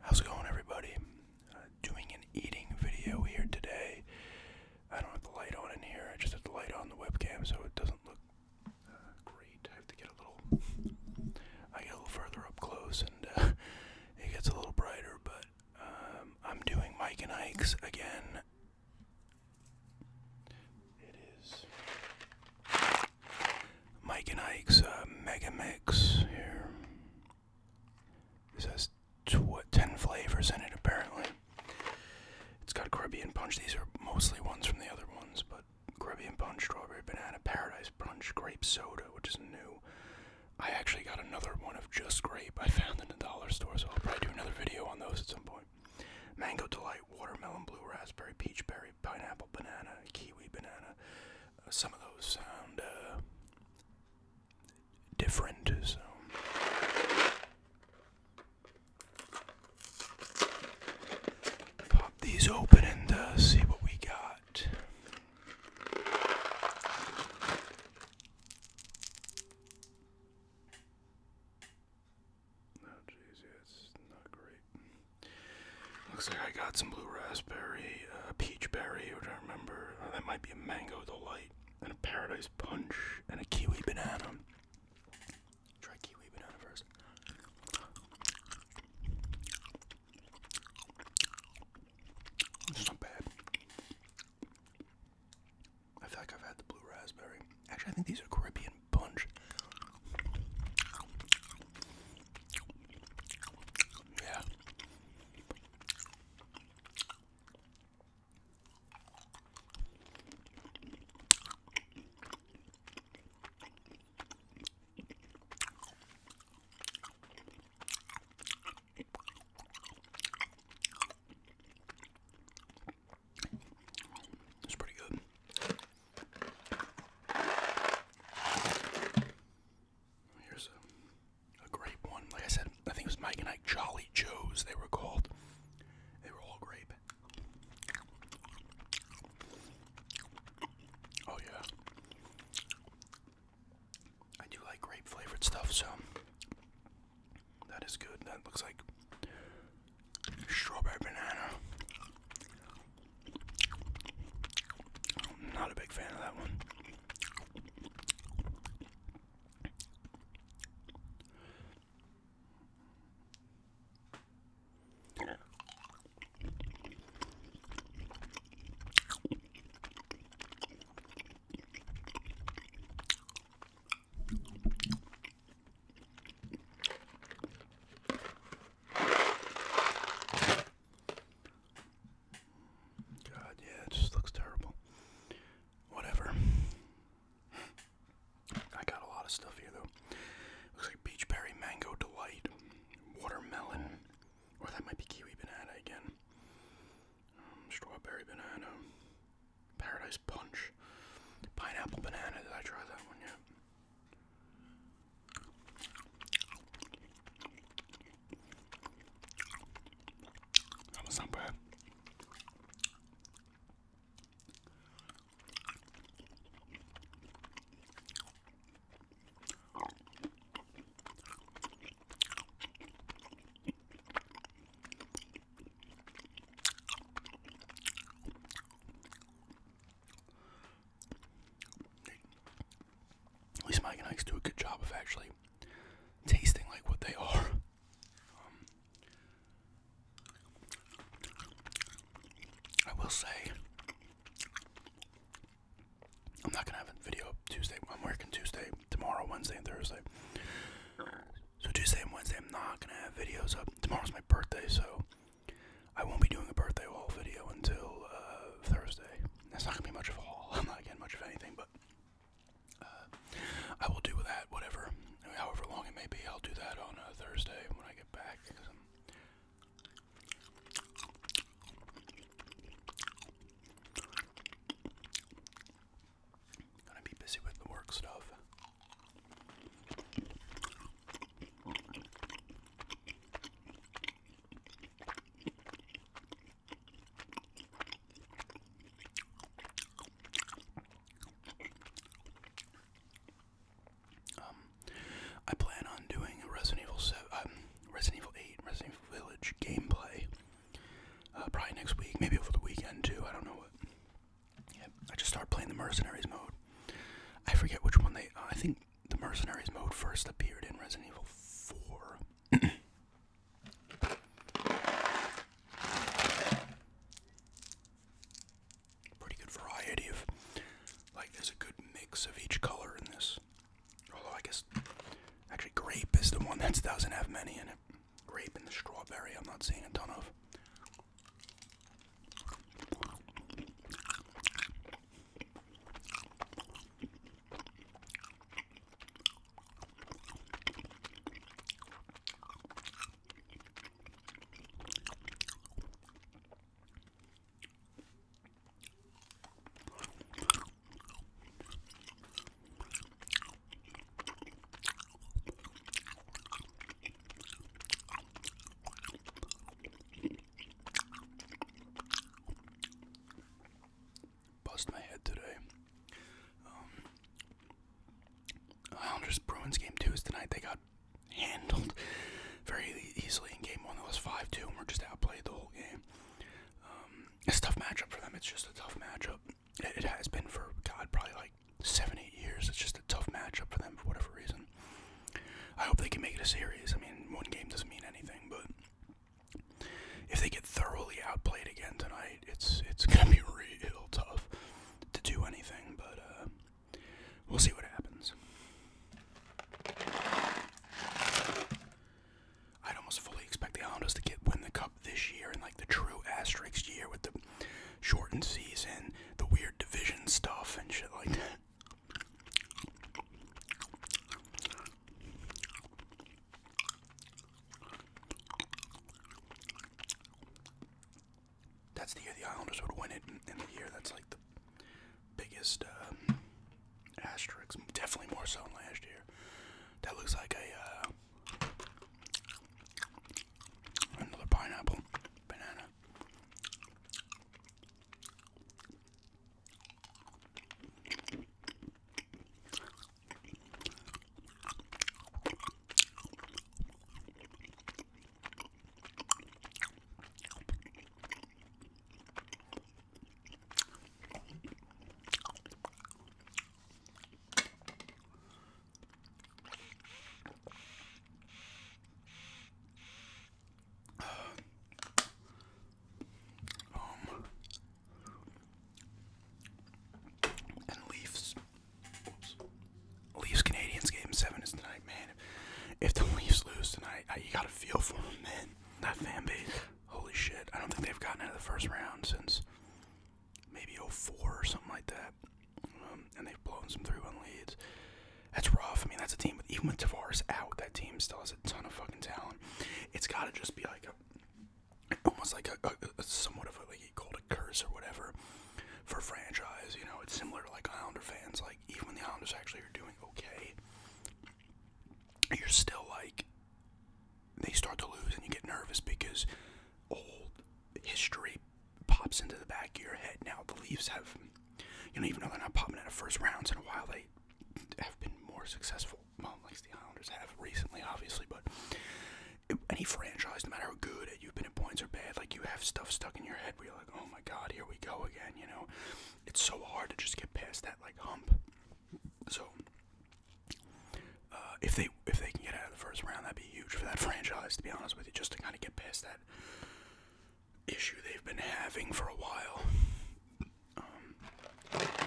How's it going, everybody? Uh, doing an eating video here today. I don't have the light on in here, I just have the light on the webcam so it doesn't look uh, great. I have to get a little. I get a little further up close and uh, it gets a little brighter, but um, I'm doing Mike and Ike's again. It is Mike and Ike's uh, Mega Mix here. This has 10 flavors in it, apparently. It's got Caribbean Punch. These are mostly ones from the other ones, but Caribbean Punch, Strawberry Banana, Paradise Punch, Grape Soda, which is new. I actually got another one of just grape I found it in the dollar store, so I'll probably do another video on those at some point. Mango Delight, Watermelon, Blue Raspberry, Peach Berry, pineapple, banana, kiwi, banana. Uh, some of those sound uh, different. So. Pop these open and uh, see what we got. Oh, Looks like I got some blue raspberry, uh, peach berry, which I remember. Uh, that might be a mango delight, and a paradise punch, and a kiwi banana. Try kiwi banana first. It's not bad. I feel I've had the blue raspberry. Actually, I think these are Caribbean fucking punch. Yeah. It's pretty good. Here's a, a grape one. Like I said, I think it was Mike and Ike Jolly Joes, they were called. They were all grape. Oh, yeah. I do like grape flavored stuff, so that is good. That looks like Strawberry banana. not a big fan of that one. God, yeah, it just looks terrible. Whatever. I got a lot of stuff here, though. Looks like peach berry, mango delight, watermelon, or that might be kiwi banana again. Um, strawberry banana, Paradise Punch. Pineapple banana. Did I try that one yet? At least Mike and Ike's do a good job of actually tasting like what they are. I will say, I'm not gonna have a video Tuesday. I'm working Tuesday, tomorrow, Wednesday, and Thursday. So Tuesday and Wednesday, I'm not gonna have videos up tomorrow's my birthday, so I won't be doing a birthday haul video until uh, Thursday. That's not gonna be much of a haul. I'm not getting much of anything, but uh, I will do that. Whatever, however long it may be, I'll do that on uh, Thursday when I get back. Gonna be busy with the work stuff. Um, I plan on doing a Resident Evil 7, um, Resident Evil 8, Resident Evil Village gameplay. Uh, probably next week, maybe over the weekend too. I don't know what yeah, I just started playing the Mercenaries mode. I forget which one they. Uh, I think the Mercenaries mode first appeared in Resident Evil 4. Pretty good variety of. Like, there's a good mix of each color in this. Although, I guess. Actually, grape is the one that doesn't have many in it grape and the strawberry, I'm not seeing a ton of. Bust my head today. Um, Islanders Bruins game two is tonight. They got handled very easily in game one. That was 5 2, and we're just outplayed the whole game. Um, it's a tough matchup for them. It's just a tough matchup it has been for God probably like seven, eight years. It's just a tough matchup for them for whatever reason. I hope they can make it a series. I mean, one game doesn't mean anything, but if they get thoroughly outplayed again tonight, it's it's gonna be real tough to do anything. But uh, we'll see what happens. I'd almost fully expect the Islanders to get win the cup this year in like the true asterisk year with the shortened season, the weird division stuff and shit like that. That's the year the Islanders would win it, In the year that's like the biggest um, asterisk, definitely more so than last year. That looks like a uh, Another pineapple, banana. Um, and Leafs. Leafs Canadians game seven is tonight, man. If the Leafs lose tonight, you gotta feel for them, man. That fan base. Holy shit. I don't think they've gotten out of the first round since maybe 04 or something like that. Um, and they've blown some 3 1 leads. That's rough. I mean, that's a team, even with Tavares out, that team still has a ton of fucking talent. It's got to just be like almost like a, somewhat of a, like you called a curse or whatever for franchise. You know, it's similar to like Islander fans. Like, even when the Islanders actually are doing okay, you're still like they start to lose and you get nervous because old history pops into the back of your head. Now the Leafs have you know even though they're not popping out of first rounds in a while, they have been more successful. Well, like the Islanders have recently, obviously, but any franchise, no matter how good you've been at points or bad, like you have stuff stuck in your head where you're like, oh my god, here we go again. You know, it's so hard to just get past that like hump. So uh, if they if they can get out of the first round, that'd be huge for that franchise. To be honest with you, just to kind of get past that issue they've been having for a while. Um,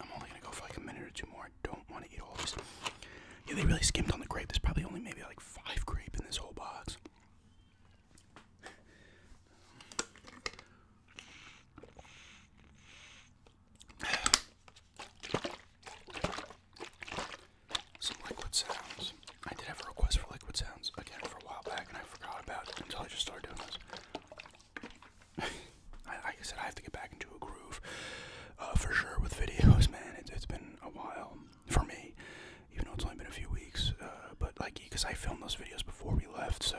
I'm only gonna go for like a minute or two more. I don't want to eat all this. Yeah, they really skimmed on the grape. There's probably only maybe like five grape in this whole box. Some liquid sounds. I did have a request for liquid sounds again for a while back, and I forgot about it until I just started doing this. I, like I said, I have to get back into a groove uh, for sure with videos, man. It, has been a while for me, even though it's only been a few weeks. Uh, but like, because I filmed those videos before we left, so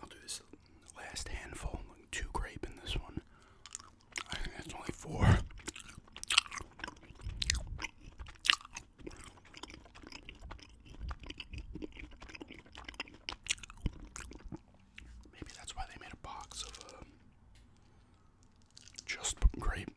I'll do this last handful, like two grape in this one. I think that's only four. Maybe that's why they made a box of uh, just great.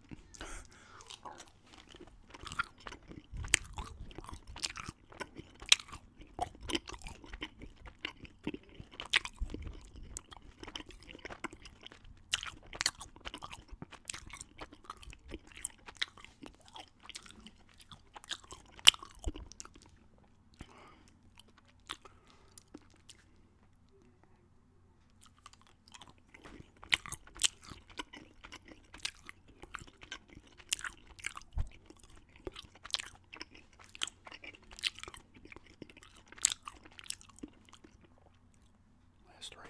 Last three.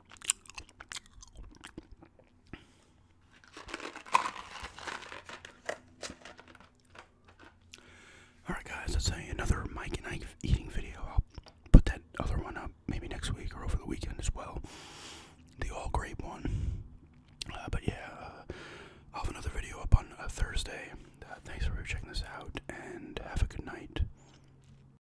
Alright, guys, that's another Mike and Ike eating video. I'll put that other one up maybe next week or over the weekend as well. The all grape one. Uh, but yeah, uh, I'll have another video up on a uh, Thursday. thanks for checking this out and have a good night.